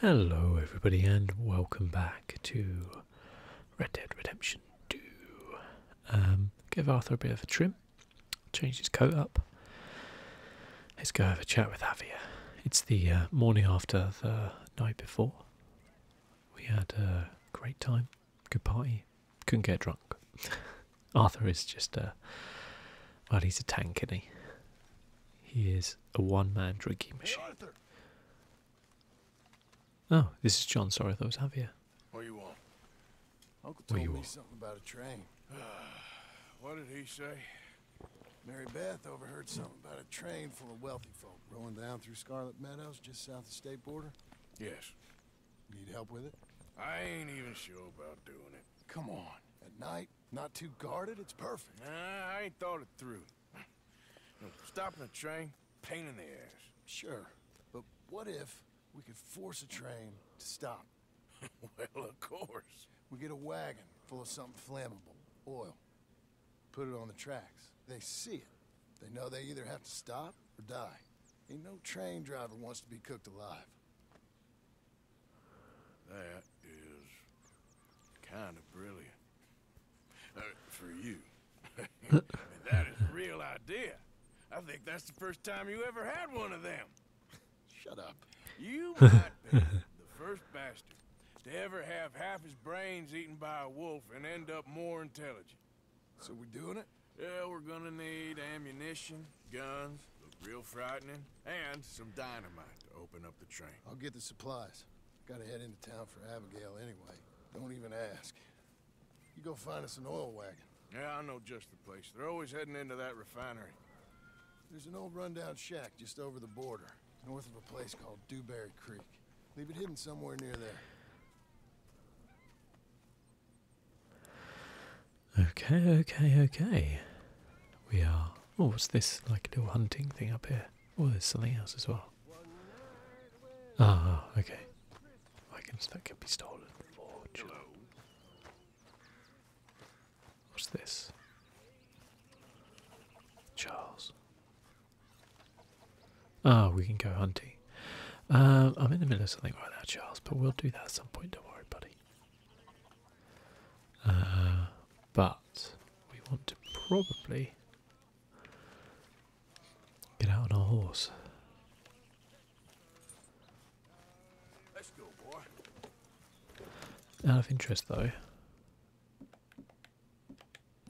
Hello, everybody, and welcome back to Red Dead Redemption 2. Um, give Arthur a bit of a trim, change his coat up. Let's go have a chat with Javier. It's the uh, morning after the night before. We had a great time, good party, couldn't get drunk. Arthur is just a well, he's a tank, isn't he? He is a one-man drinking machine. oh, this is John. Sorry, I thought it was Javier. What you want? Uncle told me something about a train. what did he say? Mary Beth overheard something about a train full of wealthy folk rolling down through Scarlet Meadows just south of the state border. Yes. Need help with it? I ain't even sure about doing it. Come on. At night, not too guarded, it's perfect. I ain't thought it through. Stopping a train, pain in the ass. Sure, but what if we could force a train to stop? well, of course. We get a wagon full of something flammable, oil. Put it on the tracks. They see it. They know they either have to stop or die. Ain't no train driver wants to be cooked alive. That is kind of brilliant. Uh, for you. that is a real idea. I think that's the first time you ever had one of them. Shut up. You might be the first bastard to ever have half his brains eaten by a wolf and end up more intelligent. So we're doing it? Yeah, we're gonna need ammunition, guns, real frightening, and some dynamite to open up the train. I'll get the supplies. Gotta head into town for Abigail anyway. Don't even ask. You go find us an oil wagon. Yeah, I know just the place. They're always heading into that refinery. There's an old rundown shack just over the border, north of a place called Dewberry Creek. Leave it hidden somewhere near there. Okay, okay, okay. We are. Oh, what's this? Like a little hunting thing up here. Oh, there's something else as well. Ah, okay. Items that can be stolen. Forge. What's this? Charles. Ah, we can go hunting. Um, I'm in the middle of something right now, Charles, but we'll do that at some point. Don't worry, buddy. Uh, but we want to probably get out on our horse. Out of interest, though,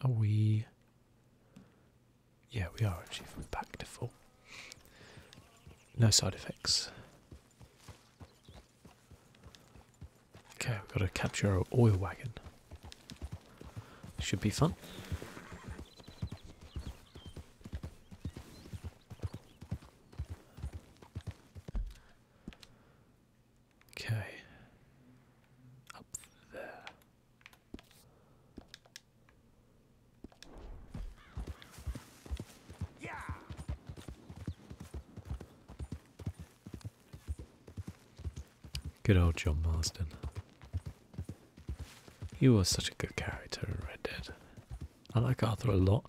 are we? Yeah, we are actually from back to full. No side effects. Okay, we've got to capture an oil wagon. Should be fun. Okay. Up there. Good old John Marston. You were such a good character in Red Dead. I like Arthur a lot,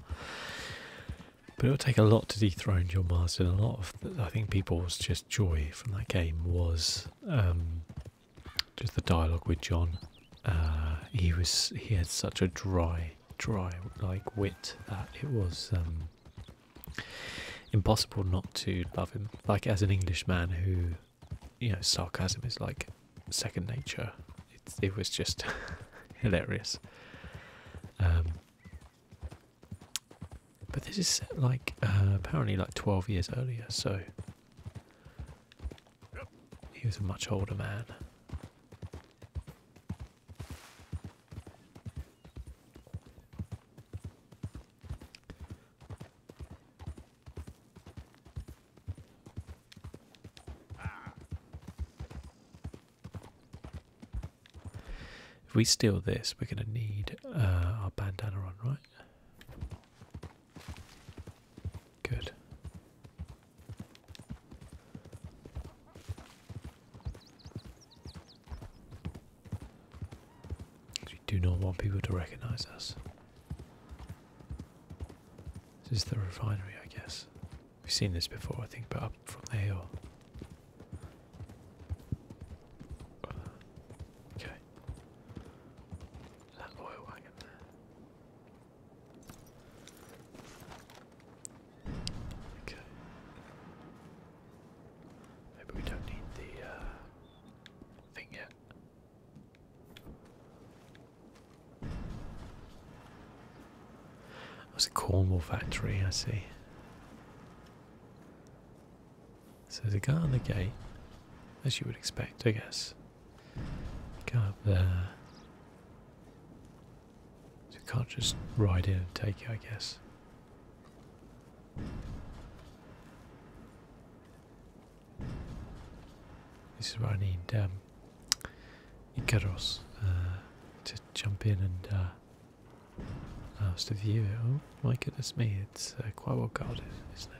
but it would take a lot to dethrone John Marston. A lot of, I think, people's just joy from that game was um, just the dialogue with John. Uh, he was he had such a dry dry, like wit that it was um, impossible not to love him. Like as an Englishman who, you know, sarcasm is like second nature. It, was just hilarious. Um, but this is like uh, apparently like 12 years earlier, so he was a much older man. If we steal this, we're going to need uh, our bandana on, right? Good. We do not want people to recognise us. This is the refinery, I guess. We've seen this before, I think, but up from the hill. Okay. That oil wagon Okay. Maybe we don't need the uh, thing yet. That's a Cornwall factory, I see. So there's a guy on the gate, as you would expect, I guess. Go up there. You can't just ride in and take it, I guess. This is what I need um, Ikeros, uh, to jump in and ask allow to view it. Oh my goodness me, it's uh, quite well guarded, isn't it?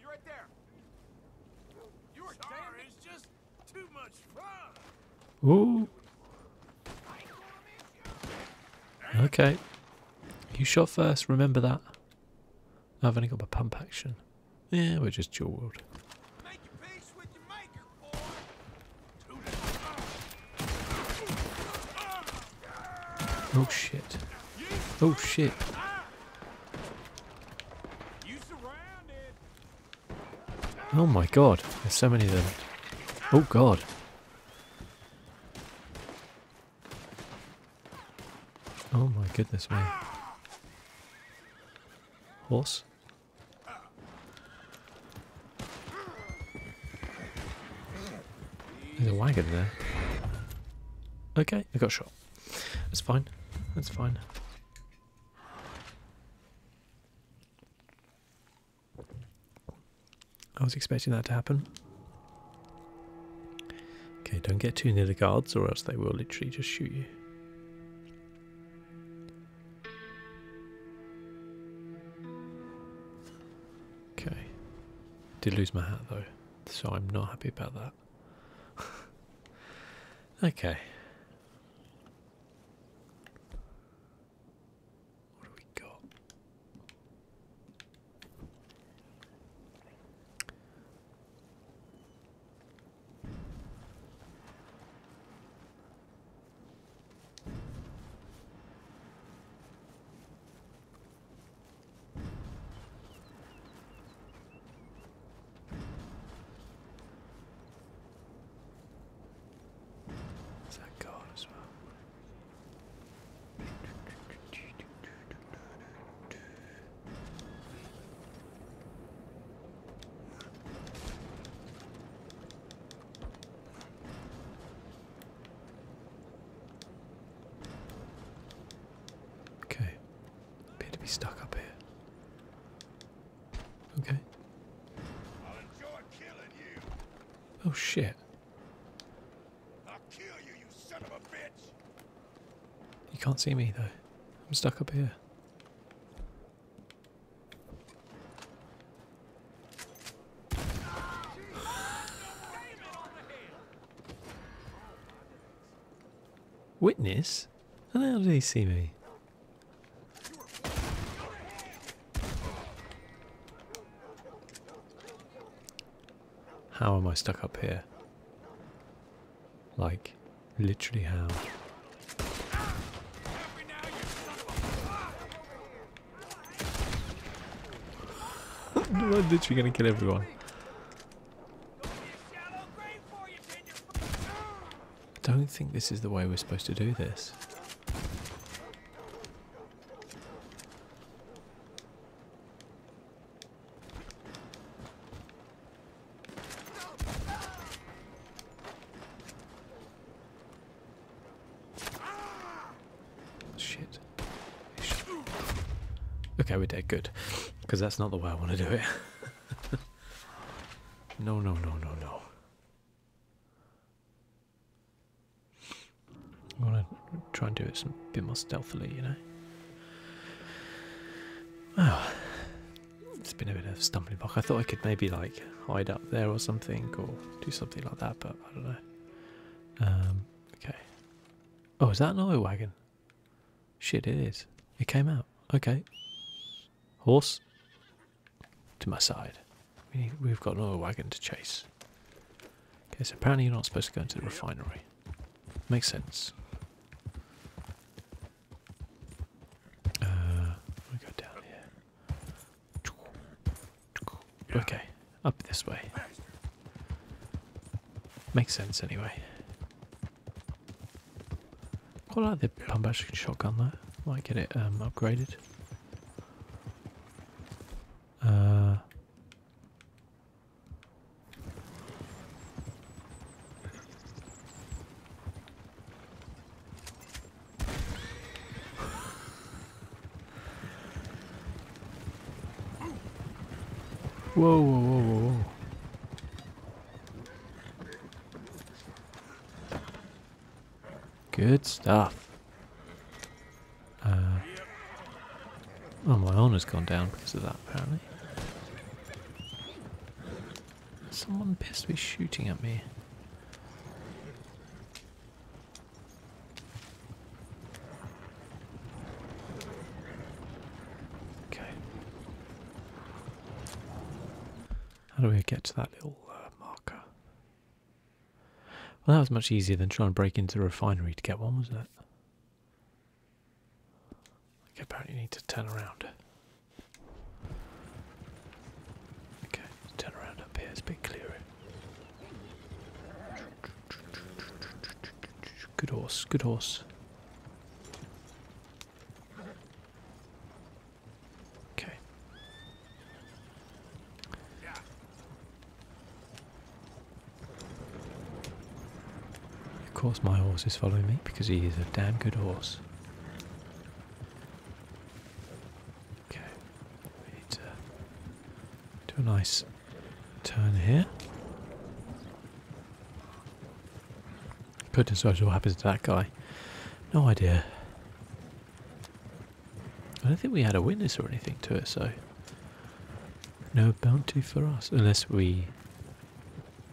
You right there. You were Sorry, it's just too much fun. Ooh. Okay. You shot first, remember that. I've only got my pump action. Yeah, we're just dual wield. Oh shit. Oh shit. Oh my god, there's so many of them. Oh god. Oh my goodness man! Horse? There's a wagon there. Okay, I got shot. That's fine. That's fine. I was expecting that to happen. Okay, don't get too near the guards or else they will literally just shoot you. Okay. Did lose my hat though, so I'm not happy about that. Okay. What do we got? Is that gold as well? Okay, Appear to be stuck up here. Okay. Oh shit. You can't see me though. I'm stuck up here. Witness? How do they see me? How am I stuck up here? Like, literally how? I'm literally gonna kill everyone don't think this is the way we're supposed to do this. Shit. Okay, we're dead. Good. Because that's not the way I want to do it. no, no, no, no, no. I'm gonna try and do it a bit more stealthily, you know. Oh, it's been a bit of stumbling block. I thought I could maybe like hide up there or something, or do something like that, but I don't know. Um, okay. Oh, is that another wagon? Shit, it is. It came out. Okay. Horse. To my side. We have got another wagon to chase. Okay, so apparently you're not supposed to go into the refinery. Makes sense. Uh, we go down here. Okay, up this way. Makes sense anyway. Quite like the pump action shotgun though. Might get it um, upgraded. Uh, whoa, whoa, whoa, whoa. Good stuff. Uh, oh, my honour's gone down because of that, apparently. Someone appears to be shooting at me. Okay. How do we get to that little uh, marker? Well, that was much easier than trying to break into the refinery to get one, wasn't it? Okay, apparently you need to turn around. Okay, turn around up here, it's a bit clearer. Good horse, good horse. Okay. Of course, my horse is following me because he is a damn good horse. Okay, need to do a nice turn here. Goodness knows what happens to that guy. No idea. I don't think we had a witness or anything to it, so no bounty for us. Unless we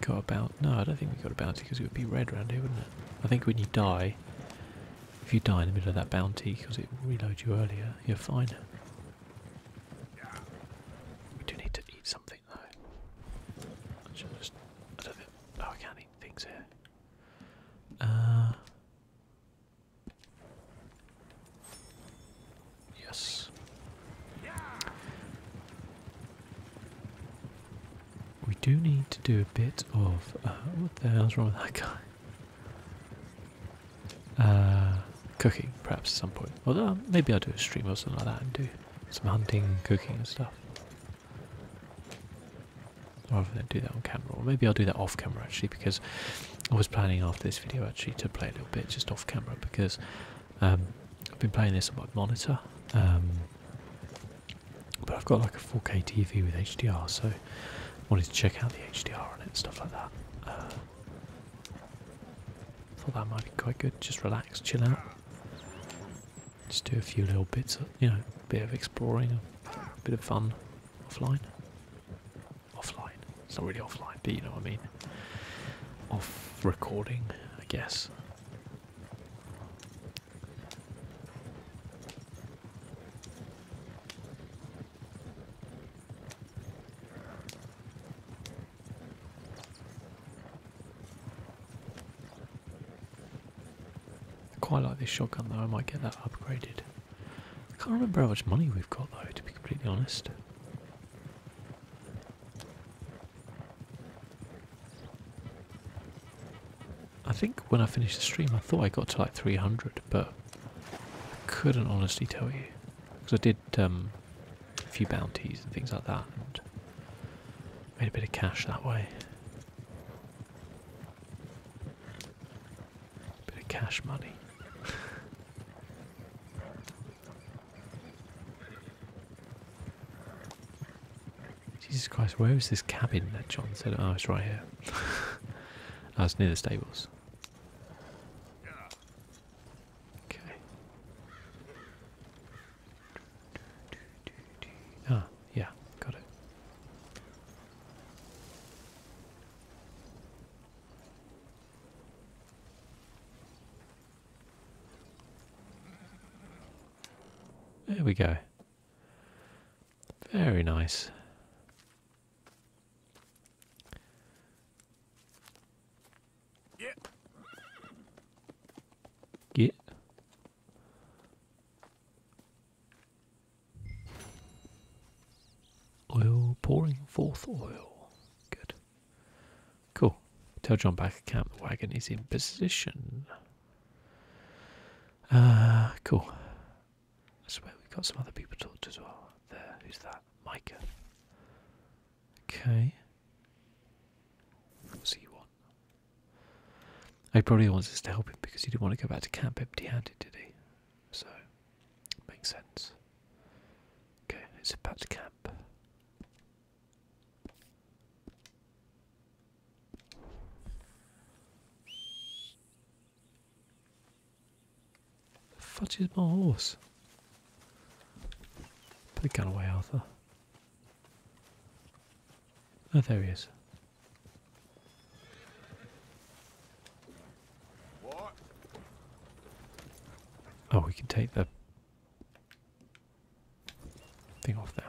got a bounty. No, I don't think we got a bounty because it would be red around here, wouldn't it? I think when you die, if you die in the middle of that bounty because it reloads you earlier, you're fine. We do need to eat something. I just. I do Oh, I can't eat things here. Uh. Yes. We do need to do a bit of. Uh, what the hell's wrong with that guy? Uh, cooking, perhaps, at some point. Although, maybe I'll do a stream or something like that and do some hunting, cooking and stuff. Rather than do that on camera, or maybe I'll do that off camera actually, because I was planning after this video actually to play a little bit just off camera because um, I've been playing this on my monitor, um, but I've got like a 4K TV with HDR, so I wanted to check out the HDR on it and stuff like that. Uh, Thought that might be quite good. Just relax, chill out. Just do a few little bits, of, you know, a bit of exploring, a bit of fun offline. Offline. It's not really offline, but you know what I mean. Off recording, I guess quite like this shotgun though, I might get that upgraded. I can't remember how much money we've got though, to be completely honest. I think when I finished the stream, I thought I got to like 300, but I couldn't honestly tell you. Because I did um, a few bounties and things like that, and made a bit of cash that way. Bit of cash money. Jesus Christ, where is this cabin that John said? Oh, it's right here. Oh, it's near the stables. Okay. Ah, yeah, got it. There we go. Very nice. Yeah. Get. Oil, pouring forth oil. Good. Cool. Tell John back at camp the wagon is in position. Uh, cool. I swear we've got some other people to as well. There, who's that? Micah. Okay. What's he He probably wants us to help him because he didn't want to go back to camp empty-handed, did he? So, makes sense. Okay, it's about to camp. The fudge is my horse? Put the gun away, Arthur. Oh, there he is. Oh, we can take the thing off now.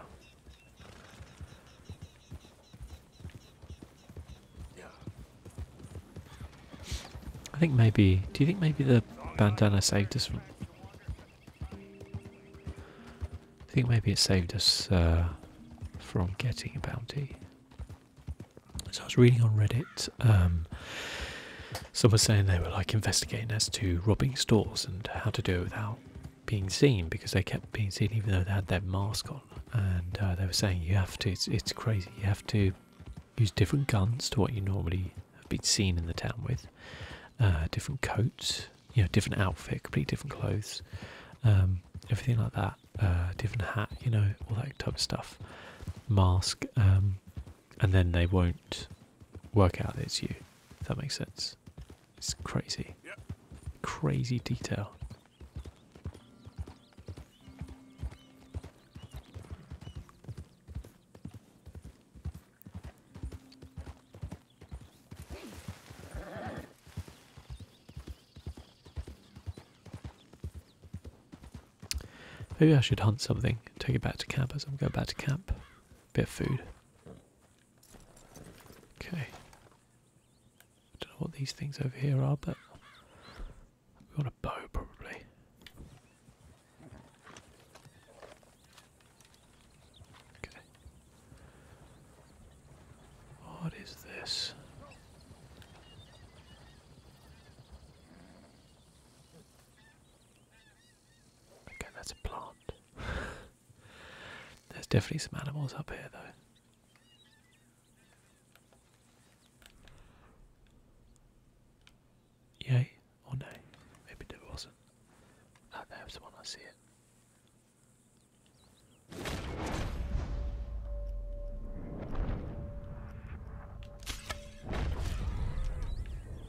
I think maybe. Do you think maybe the bandana saved us from I think maybe it saved us uh, from getting a bounty. So I was reading on Reddit, um, someone saying they were like investigating as to robbing stores and how to do it without being seen because they kept being seen even though they had their mask on. And uh, they were saying you have to, it's crazy, you have to use different guns to what you normally have been seen in the town with, uh, different coats, you know, different outfit, complete different clothes, um, everything like that, uh, different hat, you know, all that type of stuff, mask, um, and then they won't work out it's you. If that makes sense. It's crazy, crazy detail. Maybe I should hunt something, take it back to camp as I'm going back to camp. Bit of food. Okay. Don't know what these things over here are, but we want a bow probably. Okay. What is this? Okay, that's a plant. There's definitely some animals up here, though. Yay. Oh no, maybe there wasn't. Ah, That's the one, I see it.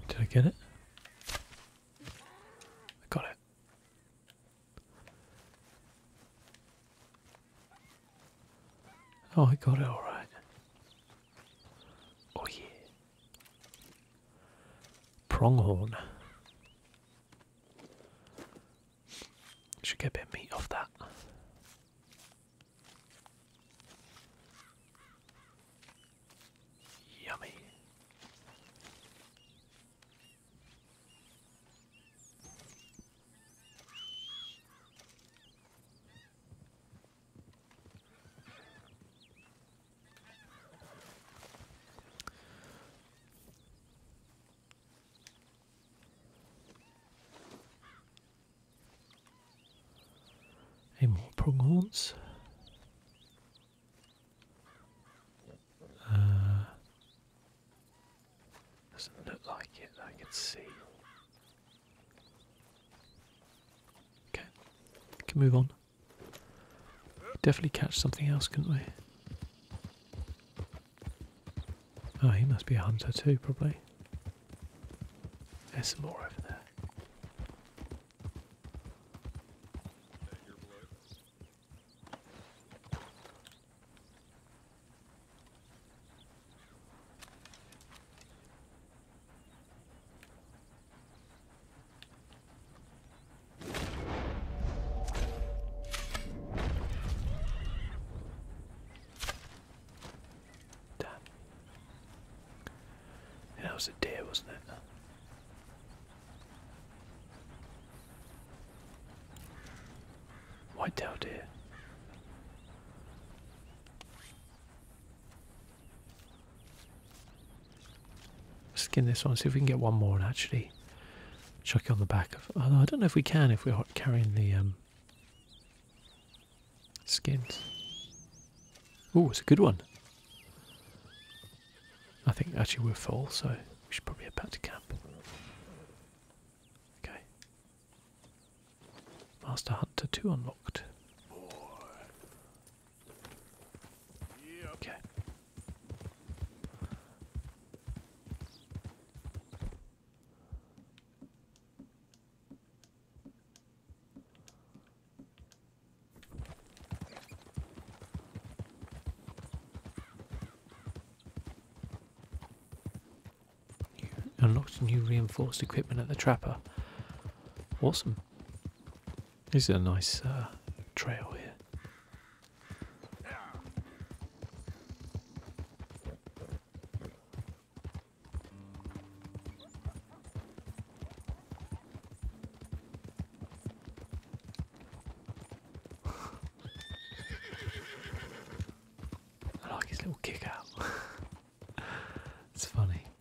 Did I get it? I got it. Oh, I got it all right. Oh yeah. Pronghorn. Should get a bit of meat off that. Yummy. Any more pronghorns. Uh, doesn't look like it. I can see. Okay, we can move on. we definitely catch something else, couldn't we? Oh, he must be a hunter too, probably. There's some more over there. Damn. Yeah, that was a deer, wasn't it? White tail deer. Skin this one, see if we can get one more and actually chuck it on the back of. Although I don't know if we can if we're carrying the um, skins. Oh, it's a good one. I think actually we're full, so we should probably head back to camp. Okay. Master Hunter 2 unlocked. Okay. unlocked new reinforced equipment at the Trapper. Awesome. This is a nice uh, trail here. I like his little kick out. it's funny.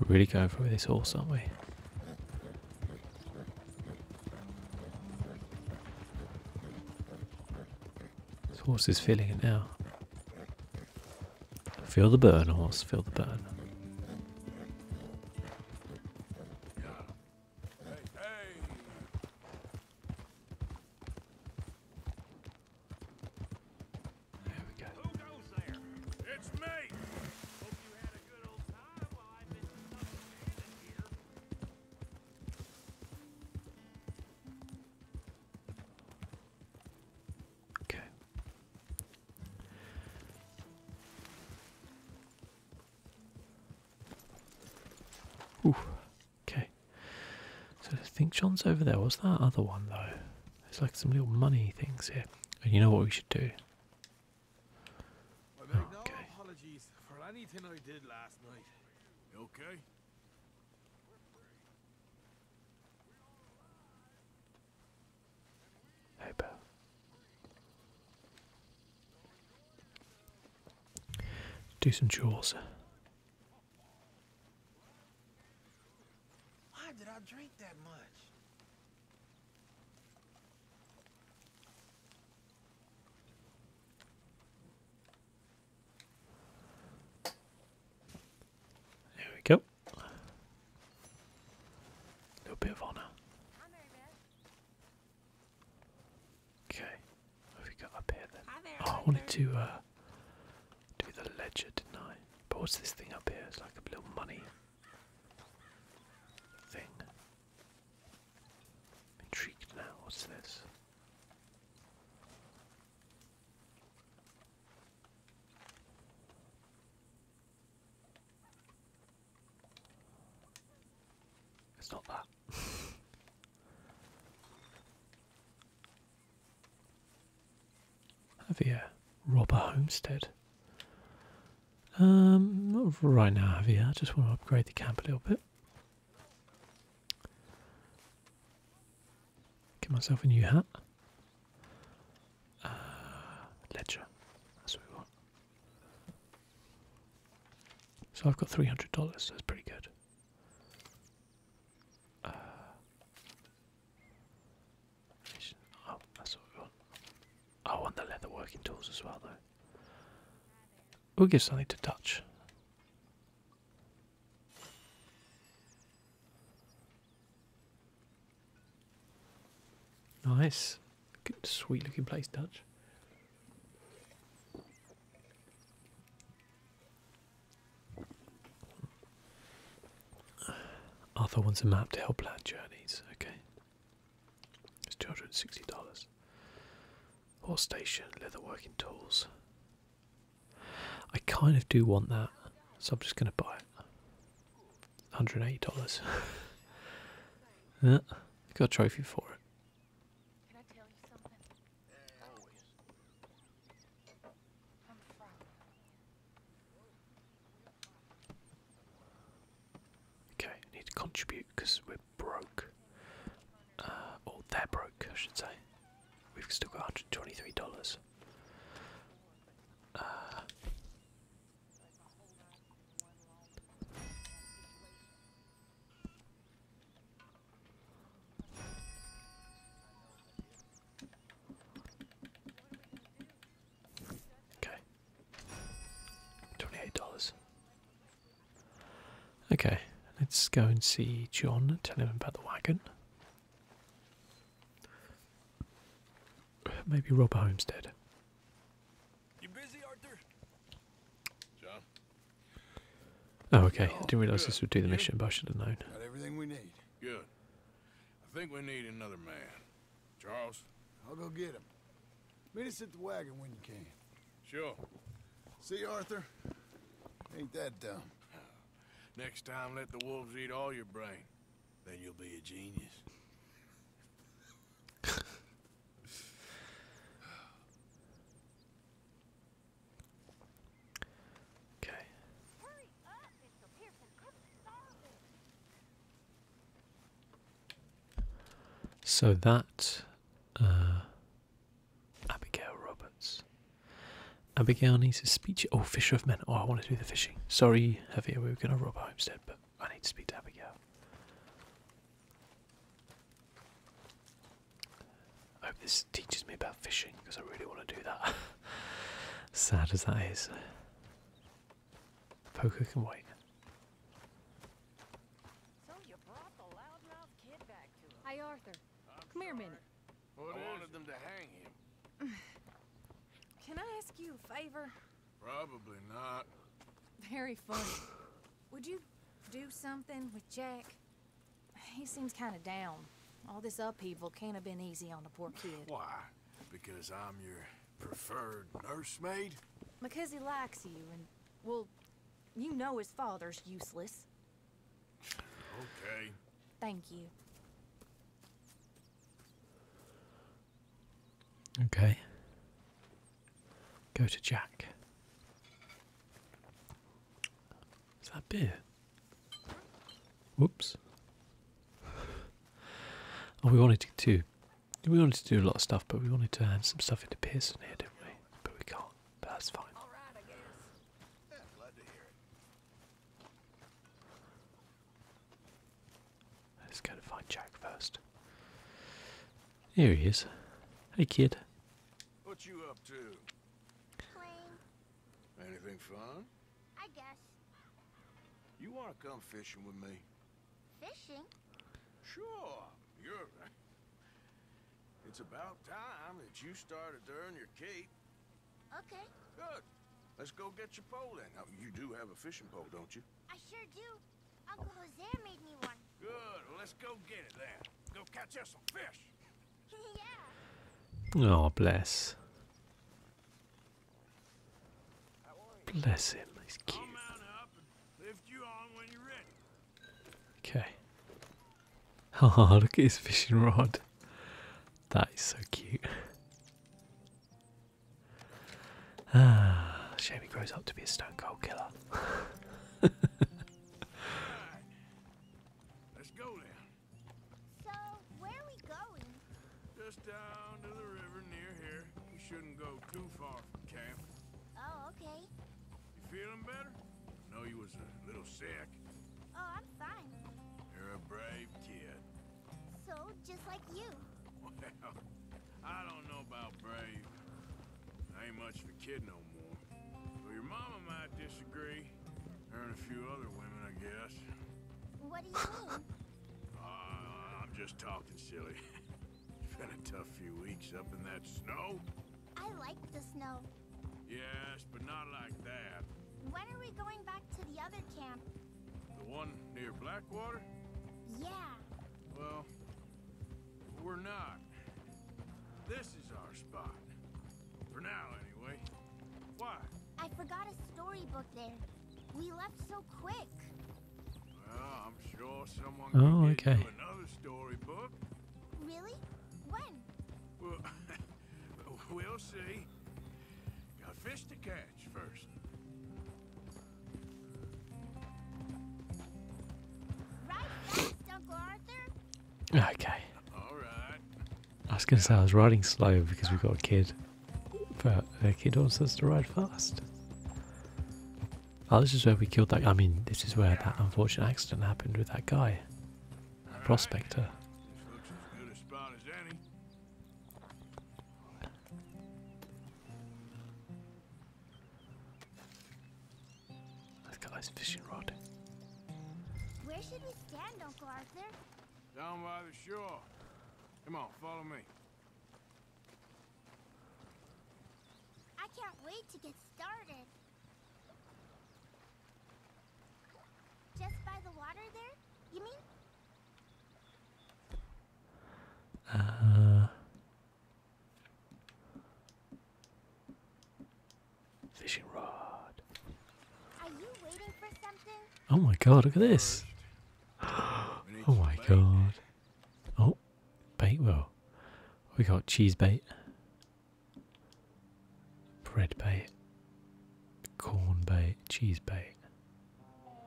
We're really going for this horse, aren't we? This horse is feeling it now. Feel the burn, horse, feel the burn. There we go. Who goes there? It's me. Hope you had a good old time while I've been here. Okay. Ooh. Okay. So I think John's over there. Was that other one though? It's like some little money things here. And you know what we should do? I make no apologies for anything I did last night. okay? Hey, pal. Do some chores. Why did I drink that much? There we go. A little bit of honor. Okay, have we got up here then? Oh, I wanted to uh, do the ledger, didn't I? But what's this thing up here? It's like a little money thing. intrigued now, what's this? It's not that. Javier, robber homestead. Um, not right now, Javier. I just want to upgrade the camp a little bit. Get myself a new hat. Uh, ledger. That's what we want. So I've got three hundred dollars. that's pretty good. Uh, Oh, that's what we want. I want the leather working tools as well, though. We'll give something to touch. Nice. Good, sweet looking place, Dutch. Arthur wants a map to help plan journeys. Okay. It's two hundred and sixty dollars. Horse station, leather working tools. I kind of do want that, so I'm just going to buy it. Hundred and eighty dollars. yeah, got a trophy for it. Okay, I need to contribute because we're broke. Uh, or they're broke, I should say. We've still got $123. Okay. $28. Okay, let's go and see John, tell him about the wagon. Maybe rob a homestead. You busy, Arthur? John? Oh, okay. I oh, didn't realise this would do the mission, I should have known. Got everything we need. Good. I think we need another man. Charles? I'll go get him. Meet us at the wagon when you can. Sure. See, Arthur? Ain't that dumb. Next time, let the wolves eat all your brain. Then you'll be a genius. okay. So that uh, Abigail Roberts. Abigail needs a speech. Oh, Fisher of Men. Oh, I want to do the fishing. Sorry, Heavier, we were going to rob our homestead, but I need to speak to Abigail. I hope this teaches me about fishing because I really want to do that. Sad as that is. Poker can wait. Hi, Arthur. Come here a minute. I wanted them to hang him. Can I ask you a favor? Probably not. Very funny. Would you do something with Jack? He seems kind of down. All this upheaval can't have been easy on the poor kid. Why? Because I'm your preferred nursemaid? Because he likes you and, well, you know his father's useless. Okay. Thank you. Okay. Go to Jack. Is that beer? Whoops. Oh, we wanted to do. We wanted to do a lot of stuff, but we wanted to add some stuff into Pearson here, didn't we? But we can't. But that's fine. All right, I guess. Let's go to find Jack first. Here he is. Hey, kid. I guess. You want to come fishing with me? Fishing? Sure. You're... It's about time that you started to your cape. Okay. Good. Let's go get your pole then. you do have a fishing pole, don't you? I sure do. Uncle Jose made me one. Good. let's go get it then. Go catch us some fish. yeah. Oh, bless. Bless him, he's cute. Okay. Oh, look at his fishing rod. That is so cute. Ah, shame grows up to be a stone cold killer. So, where are we going? Just down to the river near here. You shouldn't go too far from camp. Oh, okay. You feeling better? I know you was a little sick. Oh, I'm fine. You're a brave kid. So, just like you. Well, I don't know about brave. I ain't much of a kid no more. Well, your mama might disagree. Her and a few other women, I guess. What do you mean? Uh, I'm just talking silly. it's been a tough few weeks up in that snow. I like the snow. Yes, but not like that. When are we going back to the other camp? The one near Blackwater? Yeah. Well, we're not. This is our spot. For now, anyway. Why? I forgot a storybook there. We left so quick. oh, okay. another storybook. Really? When? Well, we'll see. Got fish to catch first. Okay. I was going to say I was riding slow because we've got a kid, but the kid wants us to ride fast. Oh, this is where we killed I mean, this is where that unfortunate accident happened with that guy, a prospector. That guy's fishing rod. Where should we stand, Uncle Arthur? Down by the shore. Come on, follow me. I can't wait to get started. Just by the water there, you mean? Uh, fishing rod. Oh my god, look at this. Oh my god. Oh, bait well. We got cheese bait, bread bait, corn bait, cheese bait.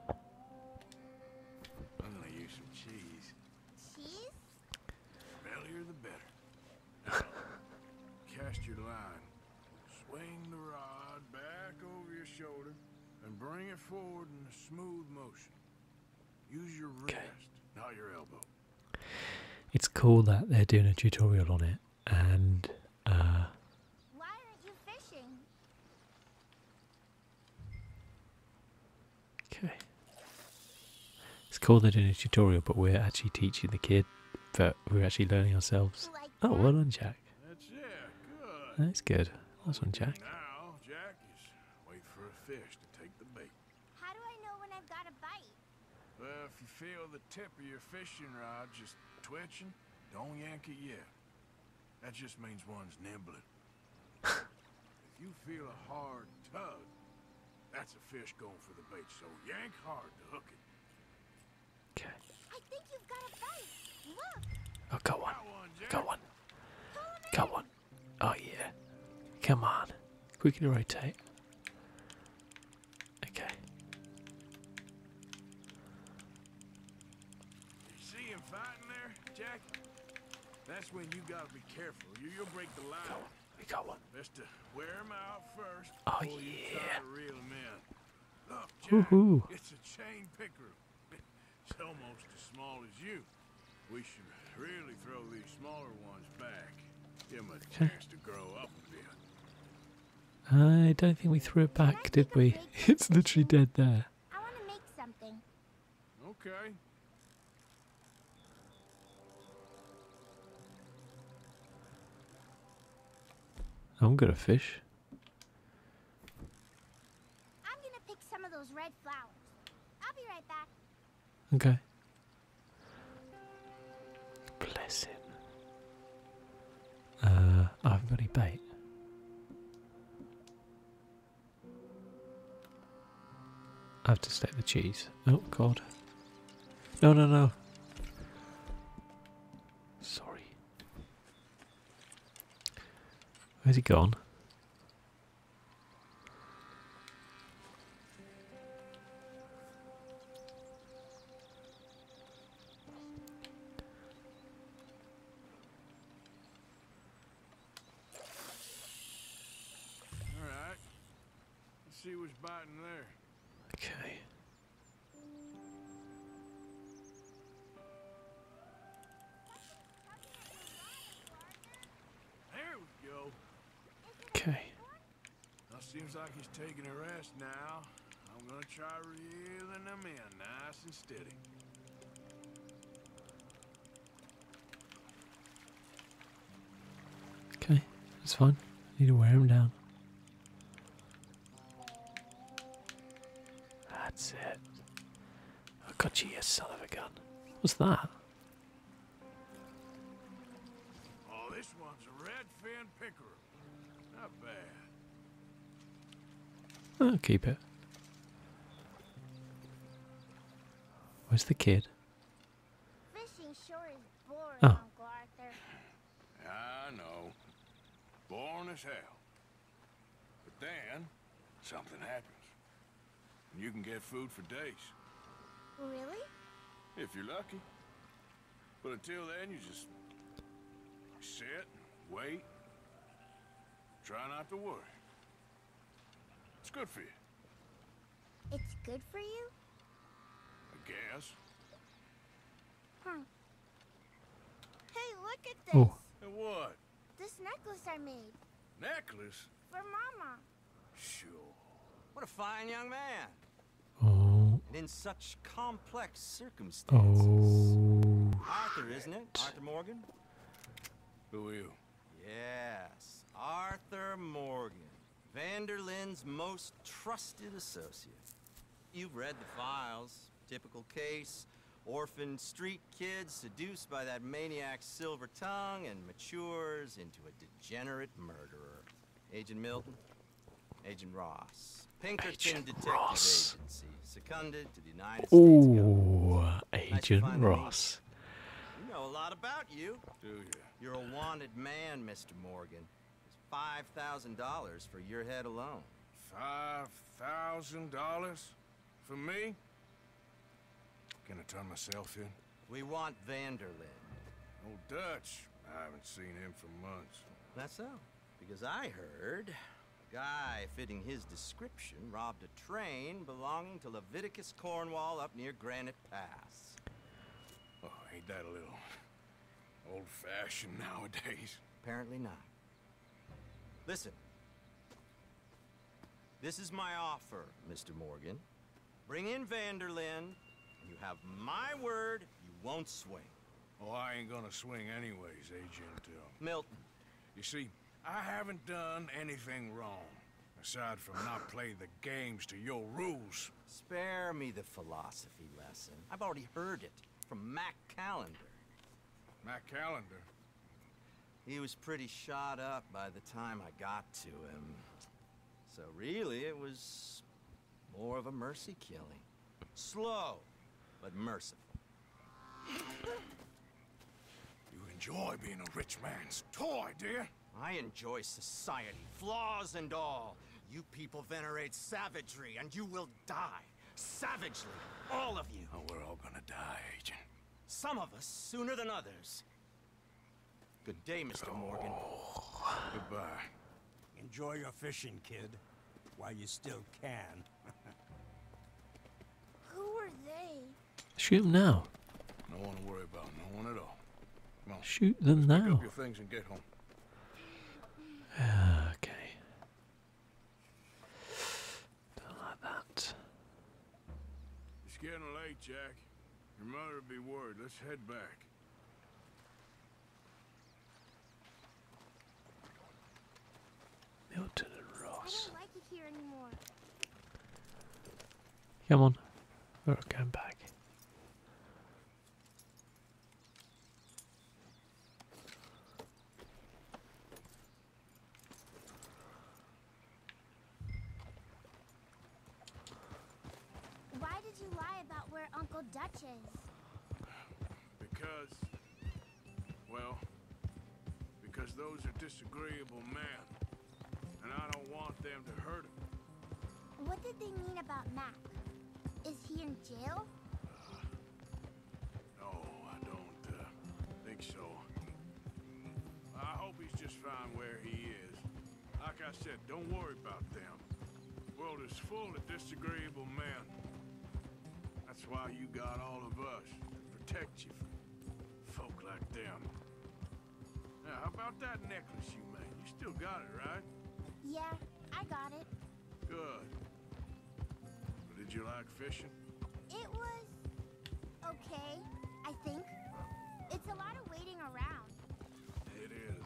I'm gonna use some cheese. Cheese? The bellier the better. Cast your line. Swing the rod back over your shoulder and bring it forward in a smooth motion. Use your wrist, not your elbow. It's cool that they're doing a tutorial on it and uh why aren't you fishing? Okay. It's cool they're doing a tutorial but we're actually teaching the kid but we're actually learning ourselves. oh well done Jack. That's Good. That's good. Nice one, Jack. wait for a fish to take the bait. if you feel the tip of your fishing rod just twitching, don't yank it yet. That just means one's nibbling. if you feel a hard tug, that's a fish going for the bait, so yank hard to hook it. Okay. I think you've got oh, one. Got one. Oh, go yeah. Come on. Quick and rotate. Okay. see him fighting there, Jack? That's when you gotta be careful. You, will break the line. We got one. Best to wear him out first. Oh, yeah. You real men it's a chain picker. It's almost as small as you. We should really throw these smaller ones back. Give them a chance to grow up a bit. I don't think we threw it back, did we? it's literally dead there. I want to make something. Okay. I'm gonna fish. I'm gonna pick some of those red flowers. I'll be right back. Okay. Bless him. Uh, I haven't got bait. I have to stick the cheese. Oh god. No, no, no. Sorry. Where's he gone? right. Let's see what's biting there. Okay. Okay. Now seems like he's taking a rest now. I'm gonna try reeling him in nice and steady. Okay, that's fine. I need to wear him down. That's it. Oh got you son of a gun. What's that? Oh, this one's a redfin pickerel. Not I'll keep it. Where's the kid? oh. I know. Born as hell. But then, something happens. And you can get food for days. Really? If you're lucky. But until then, you just sit, wait, try not to worry. It's good for you. It's good for you? I guess. Hey, look at this. What? This necklace I made. Necklace? For Mama. Sure. What a fine young man. Oh. in such complex oh. circumstances. Oh. Arthur, isn't it? Arthur Morgan? Who are you? Yes, Arthur Morgan. Vanderlyn's most trusted associate. You've read the files. Typical case. Orphan street kid seduced by that maniac's silver tongue and matures into a degenerate murderer. Agent Milton, Agent Ross. Pinkerton Agent Detective Ross. Agency, seconded to the United Ooh, States Agent Ross. You know a lot about you. Do you? You're a wanted man, Mr. Morgan. It's $5,000 for your head alone. $5,000? For me? Can I turn myself in? We want Vanderlyn. Old Dutch. I haven't seen him for months. That's so. Because I heard a guy fitting his description robbed a train belonging to Leviticus Cornwall up near Granite Pass. Oh, ain't that a little... Old-fashioned nowadays. Apparently not. Listen. This is my offer, Mr. Morgan. Bring in Vanderlyn, and you have my word you won't swing. Oh, I ain't gonna swing anyways, Agent. Uh, Milton. You see, I haven't done anything wrong, aside from not playing the games to your rules. Spare me the philosophy lesson. I've already heard it. From Mac Callender. Mac Callender? He was pretty shot up by the time I got to him. So really, it was more of a mercy killing. Slow, but merciful. You enjoy being a rich man's toy, dear. I enjoy society, flaws and all. You people venerate savagery, and you will die. Savagely. All of you. Oh, we're all gonna die, Agent. Some of us sooner than others. Good day, Mr. Morgan. Oh. Goodbye. Enjoy your fishing, kid. While you still can. Who are they? Shoot them now. No one to worry about. No one at all. Shoot them now. Okay. Don't like that. It's getting late, Jack. Your mother would be worried. Let's head back. Milton and Ross. I don't like it here anymore. Come on. We're going back. Why did you lie about where Uncle Dutch is? Because... Well... Because those are disagreeable men. And I don't want them to hurt him. What did they mean about Mac? Is he in jail? No, I don't uh, think so. I hope he's just fine where he is. Like I said, don't worry about them. world is full of disagreeable men. That's why you got all of us to protect you from folk like them. Now, how about that necklace you made? You still got it, right? Yeah, I got it. Good. did you like fishing? It was... okay, I think. It's a lot of waiting around. It is.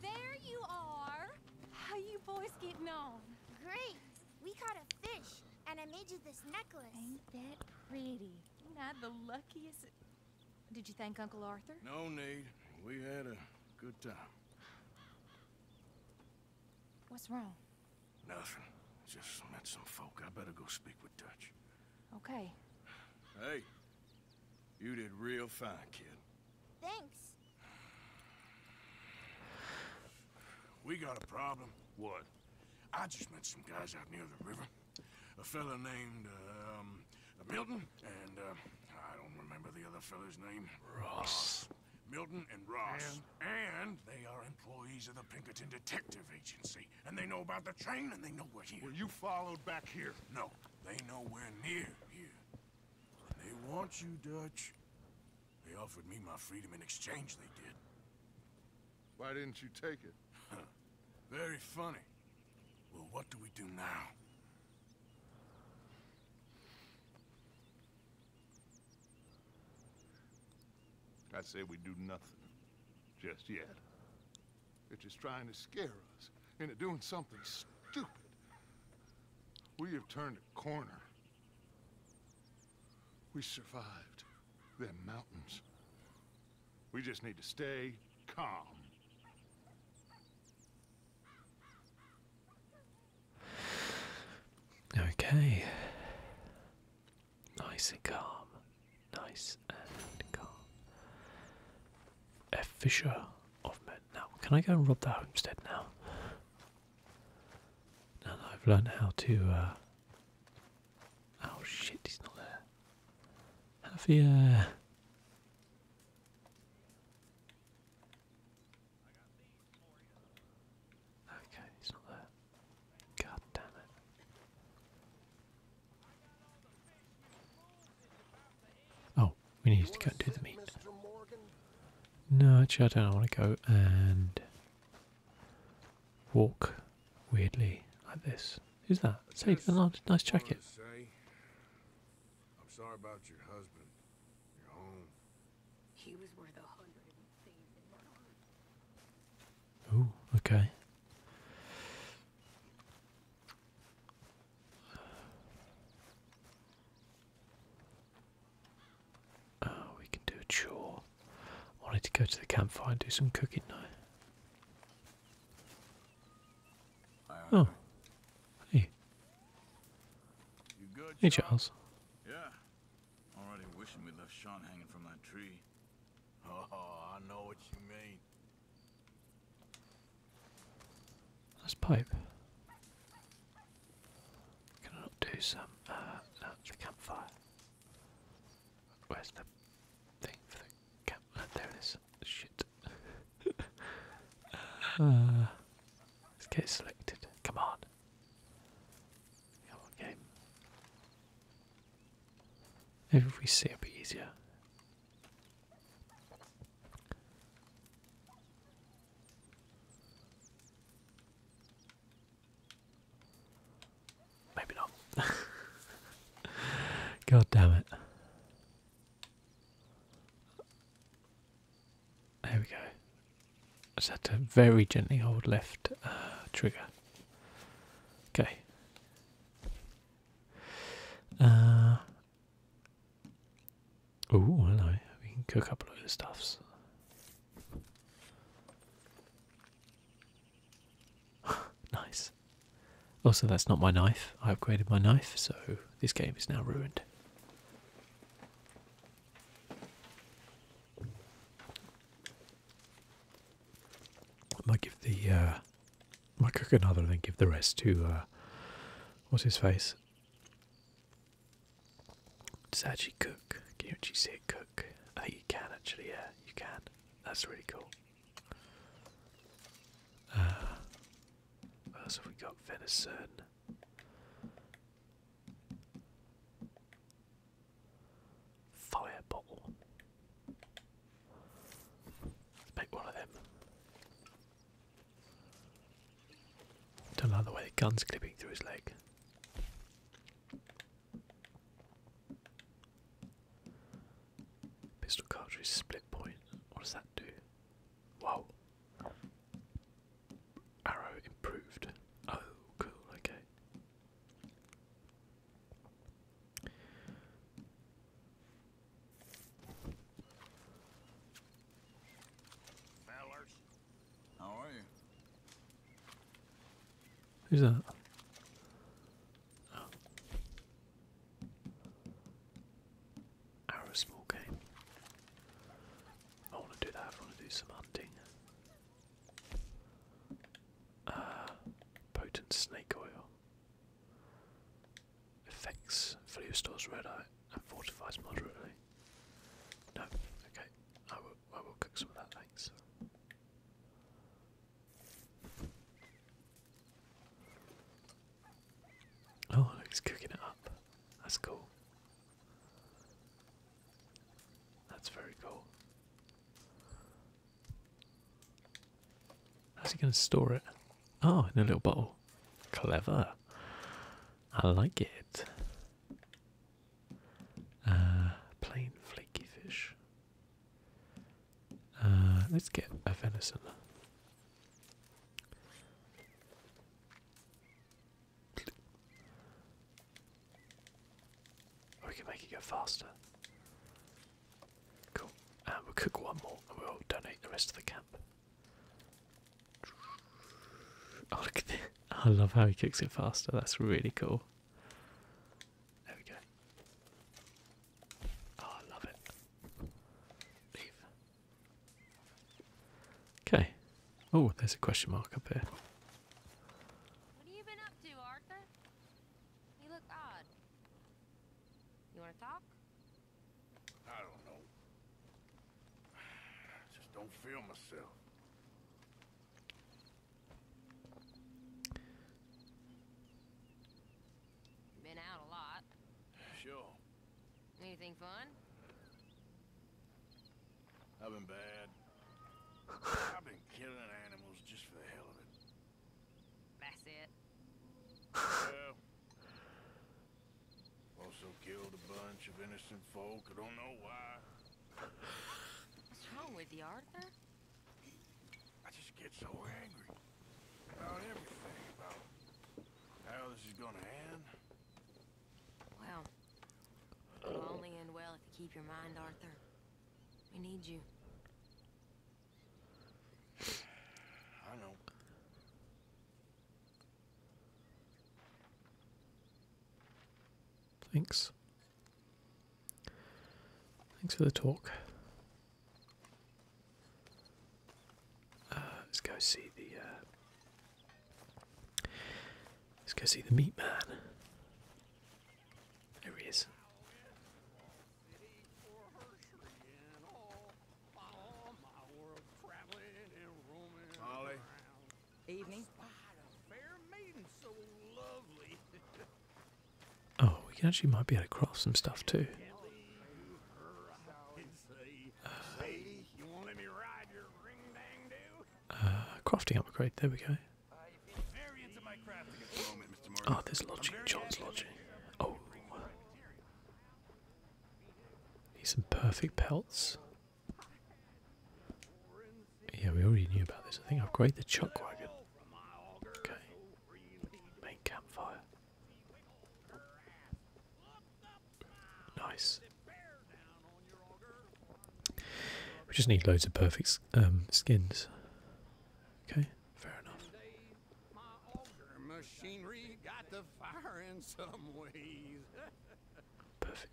There you are! How you boys getting on? Great! We caught a fish, and I made you this necklace. Ain't that pretty? Not the luckiest. Did you thank Uncle Arthur? No need. We had a good time. What's wrong? Nothing. Just met some folk. I better go speak with Dutch. Okay. Hey, you did real fine, kid. Thanks. We got a problem. What? I just met some guys out near the river. A fella named, uh, um, Milton and, uh, I don't remember the other fella's name. Ross. Milton and Ross. And? they are employees of the Pinkerton Detective Agency. And they know about the train and they know we're here. Were you followed back here? No, they know we're near you. They want you, Dutch. They offered me my freedom in exchange, they did. Why didn't you take it? Very funny. Well, what do we do now? I say we do nothing. Just yet. They're just trying to scare us into doing something stupid. We have turned a corner. We survived them mountains. We just need to stay calm. Okay. Nice and calm. Nice and calm. A fisher of men. Now, can I go and rob the homestead now? Now that I've learned how to, uh, Oh shit, he's not there. Have you, uh... Okay, he's not there. God damn it. Oh, we need to go and do the meat. No, actually, I don't. I want to go and walk weirdly like this. Who's that? Say, yes, nice, nice jacket. I'm sorry about your husband. He was worth a hundred things in Ooh, okay. Oh, we can do a chore. I wanted to go to the campfire and do some cooking now. Oh, hey. hey, Charles. Yeah. Already wishing we left Sean hanging from that tree. Oh, I know what you mean. That's pipe. Can I do some, no, uh, uh, the campfire? Where's the thing for the camp? there it is. Shit. Uh, let's get it selected. Come on. Come Maybe if we see it'll be easier. Maybe not. God damn it. There we go. I just had to very gently hold left uh, trigger. Okay. Uh, Oh, hello. We can cook up a load of stuffs. nice. Also, that's not my knife. I upgraded my knife, so this game is now ruined. I might give the, uh, I might cook another and then give the rest to, uh, what's his face? Does that cook? Can you actually see it cook? I you can actually, yeah, you can. That's really cool. Uh, what else have we got? Venison. Fire Let's make one of them. Don't like the way the gun's clipping through his leg. Pistol cartridge split point. What does that do? Wow. Arrow improved. Oh, cool, okay. How are you? Who's that? Arrow small game. I want to do that. I want to do some hunting. Uh, potent snake oil. Effects. Value stores red eye and fortifies moderately. No, okay. I will I will cook some of that, thanks. Oh he's cooking it up. That's cool. That's very cool. How's he gonna store it? Oh, in a little bottle. Clever. I like it. Uh, plain flaky fish. Uh, let's get a venison. we can make it go faster. Cool. And we cook one more we'll donate the rest to the camp look at this. I love how he kicks it faster. That's really cool. There we go. Oh, I love it. Okay. Oh, there's a question mark up here. What have you been up to, Arthur? You look odd. You want to talk? I don't know. I just don't feel myself. Been out a lot. Sure. Anything fun? I've been bad. I've been killing animals just for the hell of it. That's it. Well, also killed a bunch of innocent folk. I don't know why. What's wrong with you, Arthur? I just get so angry about everything, about how this is gonna end. Well, it'll only end well if you keep your mind, Arthur. We need you. I know. Thanks. Thanks for the talk. Uh, let's go see the. Uh, let's go see the meat man. There he is. Evening. Oh, we actually might be able to craft some stuff too. Uh, crafting upgrade, there we go. Ah, oh, there's lodging, John's lodging. Oh. Need some perfect pelts. Yeah, we already knew about this. I think I've great the chuck wagon. Okay. Main campfire. Nice. We just need loads of perfect um, skins. Okay, fair enough. Perfect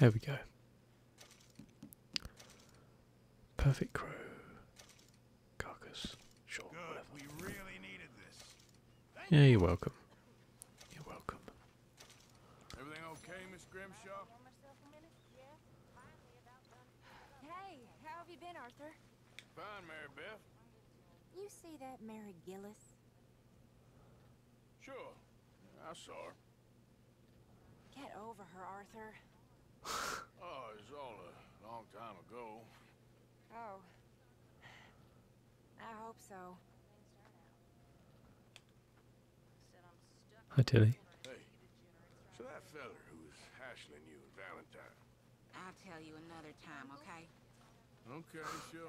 There we go. Perfect crew. Carcass. Sure. yeah, you're welcome. You're welcome. Everything okay, Miss Grimshaw? Hey, how have you been, Arthur? Fine, Mary You see that Mary Gillis? Sure. I saw her. Get over her, Arthur. oh, it's all a long time ago. Oh. I hope so. Hi, Tilly. so that feller who was you Valentine. I'll tell you another time, okay? Okay, sure.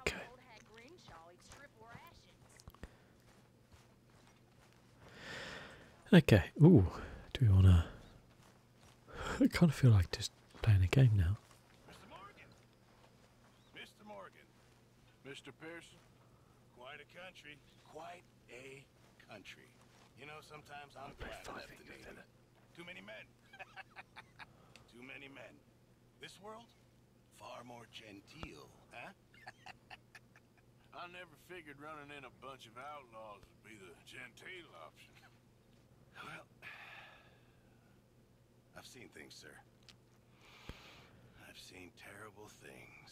Okay. Okay. Ooh, do we wanna? I kind of feel like just playing a game now. Mr. Morgan. Mr. Morgan. Mr. Pearson. Quite a country. Quite a country. You know, sometimes I'm glad I left the Navy. Too many men. Too many men. This world? Far more genteel, huh? I never figured running in a bunch of outlaws would be the genteel option. Well, I've seen things, sir. I've seen terrible things.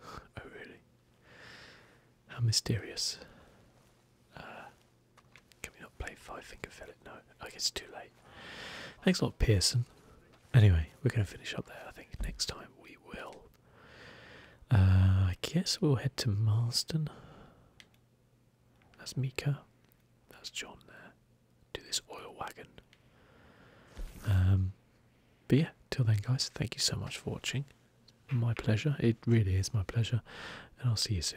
oh, really? How mysterious. Uh, can we not play Five Finger Fillet? No, I guess it's too late. Thanks a lot, Pearson. Anyway, we're going to finish up there. I think next time we will. Uh, I guess we'll head to Marston. That's Mika. That's John there. Do this oil wagon. Um, but yeah, till then, guys, thank you so much for watching. My pleasure. It really is my pleasure. And I'll see you soon.